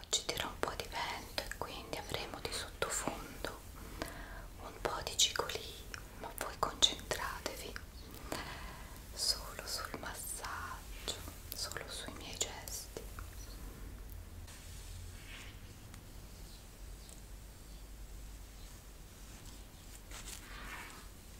Oggi tira un po' di vento e quindi avremo di sottofondo un po' di cicoli, ma voi concentratevi solo sul massaggio, solo sui miei gesti.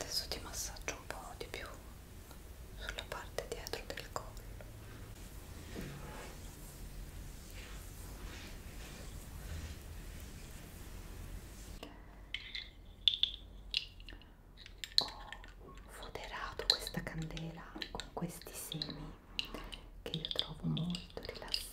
Adesso ti massaggio un po' di più sulla parte dietro del collo. Ho foderato questa candela con questi semi che io trovo molto rilassanti.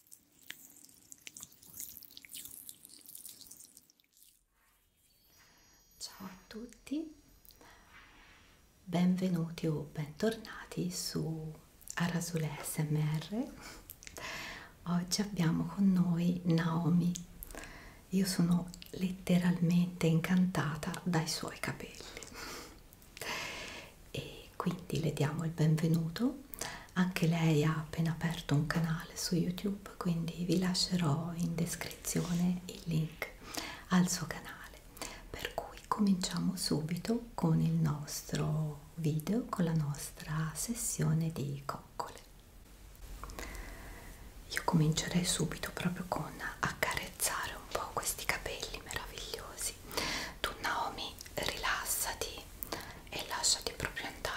Ciao a tutti, benvenuti o bentornati su Arasule SMR. Oggi abbiamo con noi Naomi. Io sono letteralmente incantata dai suoi capelli e quindi le diamo il benvenuto anche lei ha appena aperto un canale su youtube quindi vi lascerò in descrizione il link al suo canale per cui cominciamo subito con il nostro video con la nostra sessione di coccole io comincerei subito proprio con accarezzare un po' questi capelli meravigliosi tu Naomi rilassati e lasciati proprio andare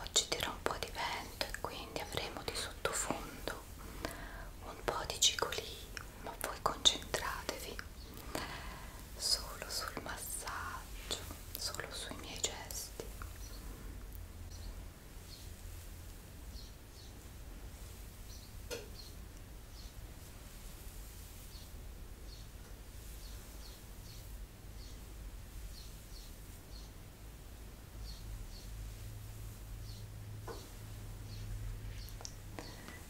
Oggi dirò un po' di vento e quindi avremo di sottofondo un po' di cicoli, ma voi concentratevi solo sul massaggio, solo sui miei gesti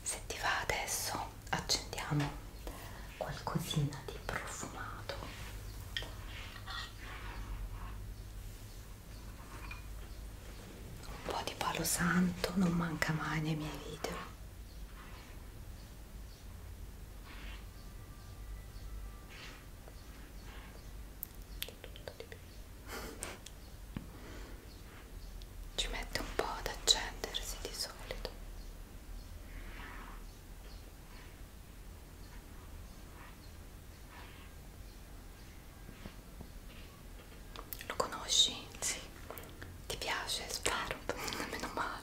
se ti va adesso accendiamo qualcosina di profumato un po' di palo santo non manca mai nei miei video tutto di più ci mette un po' ad accendersi di solito lo conosci? Sì. Ti piace? Spero, meno male.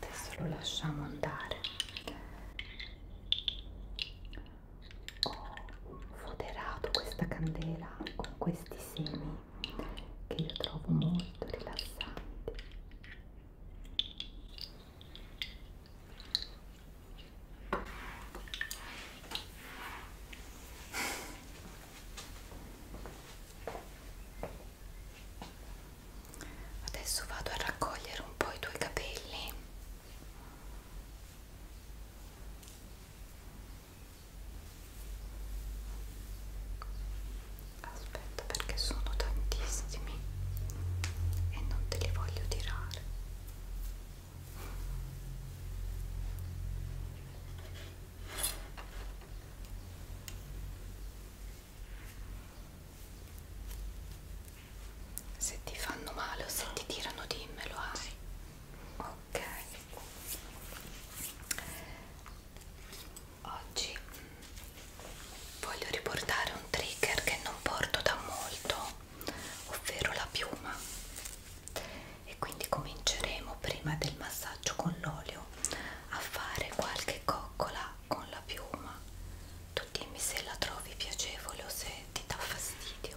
adesso lo lasciamo andare ho foderato questa candela con questi semi che io trovo molto rilassanti Adesso vado a raccogliere un po' i tuoi capelli. Aspetta perché sono tantissimi e non te li voglio tirare. Se ti fanno male o se ti tirano dimmelo, hai. Ah. Ok. Oggi mm, voglio riportare un trigger che non porto da molto, ovvero la piuma. E quindi cominceremo prima del massaggio con l'olio a fare qualche coccola con la piuma tu dimmi se la trovi piacevole o se ti dà fastidio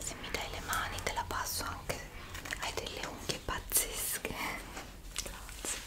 Se mi dai le mani te la passo anche, hai delle unghie pazzesche. Grazie.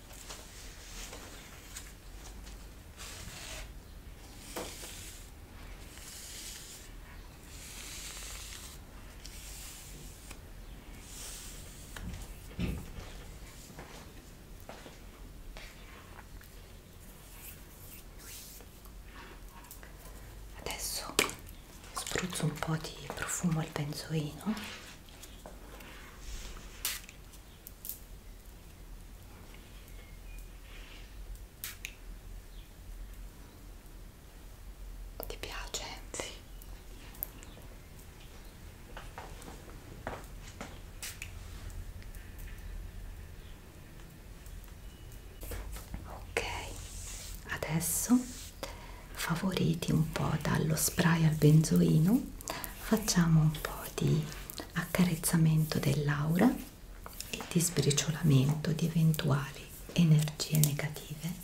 Adesso spruzzo un po' di profumo al benzoino ti piace? Sì. Ok, adesso favoriti un po' dallo spray al benzoino facciamo un po' di accarezzamento dell'aura e di sbriciolamento di eventuali energie negative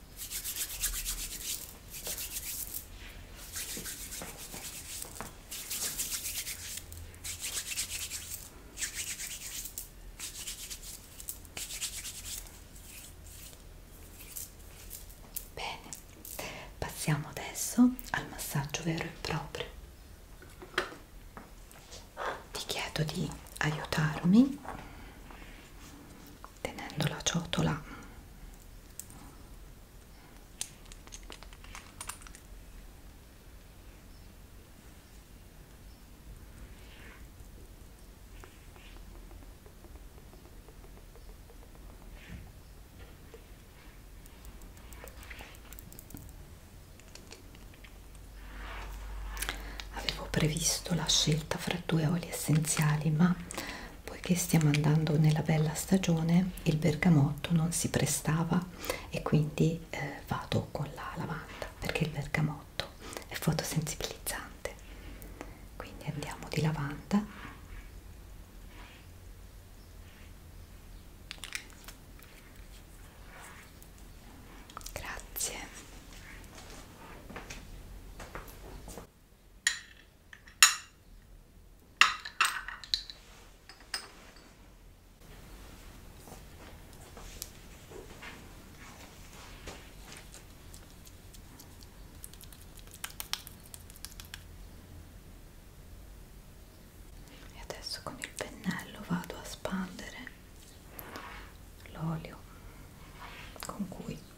Bene, passiamo adesso al massaggio vero e proprio. Ti chiedo di aiutarmi tenendo la ciotola avevo previsto la scelta fra due oli essenziali ma Poiché stiamo andando nella bella stagione, il bergamotto non si prestava e quindi eh, vado con la lavanda perché il bergamotto è fotosensibilizzante. Quindi andiamo di lavanda. Grazie. E adesso con il pennello vado a spandere l'olio con cui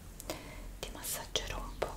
ti massaggerò un po'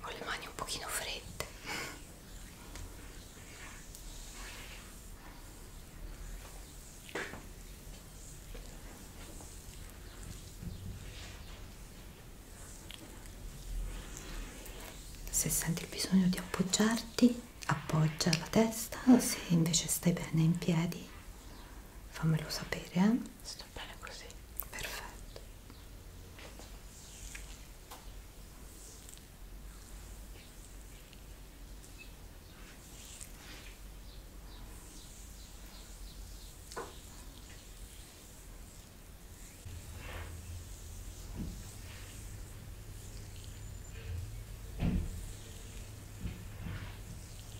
ho le mani un pochino fredde se senti il bisogno di appoggiarti appoggia la testa se invece stai bene in piedi fammelo sapere eh? sto bene così perfetto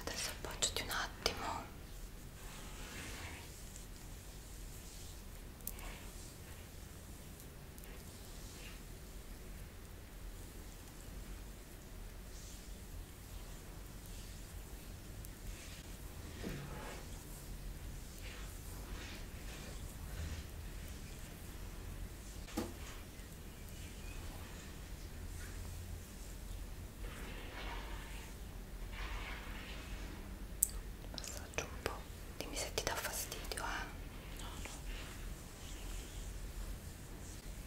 Adesso appoggiati un attimo. Massaggio un po', dimmi se ti dà fastidio, eh? No, no.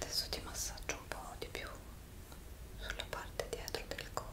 Adesso ti massaggio un po' di più sulla parte dietro del collo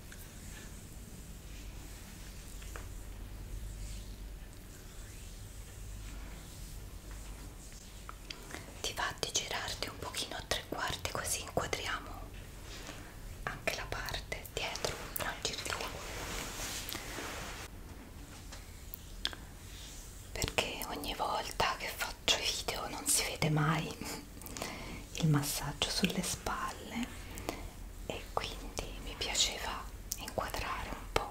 Ti va di girarti un pochino a tre quarti così inquadriamo anche la parte dietro, non giri tu perché ogni volta che faccio i video non si vede mai il massaggio sulle spalle e quindi mi piaceva inquadrare un po'.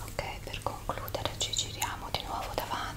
Ok, per concludere ci giriamo di nuovo davanti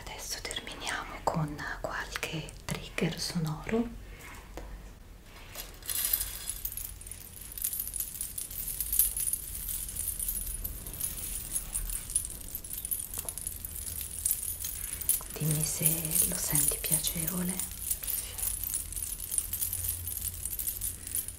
Adesso terminiamo con qualche trigger sonoro. Dimmi se lo senti piacevole.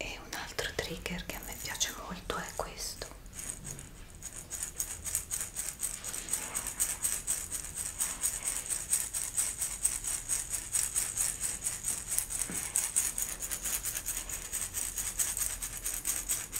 e un altro trigger che a me piace molto è questo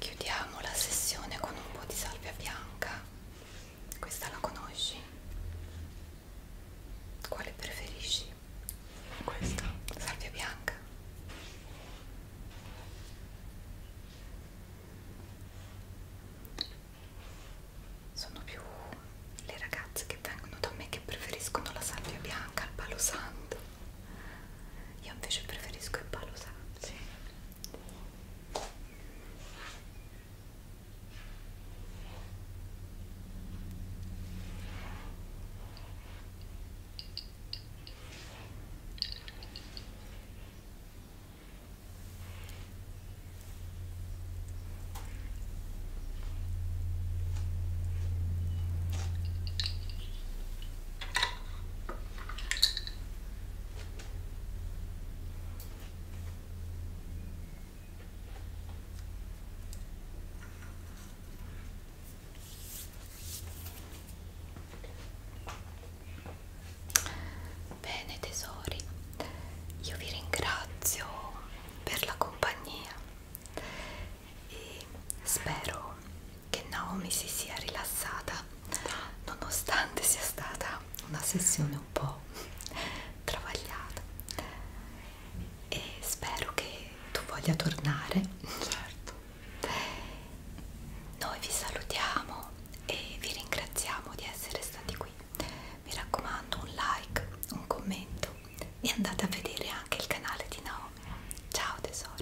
Chiudiamo la sessione con un po' di salvia bianca. Questa la conosci? Quale preferisci? Questa, salvia bianca sono più le ragazze che vengono da me che preferiscono la sabbia bianca al palo santo io invece preferisco il palo santo sì. Bene tesori, io vi ringrazio per la compagnia e spero che Naomi si sia rilassata nonostante sia stata una sessione un po' travagliata e spero che tu voglia tornare certo noi vi salutiamo e vi ringraziamo di essere stati qui mi raccomando un like un commento e andate a vedere anche il canale di Naomi. Ciao tesori.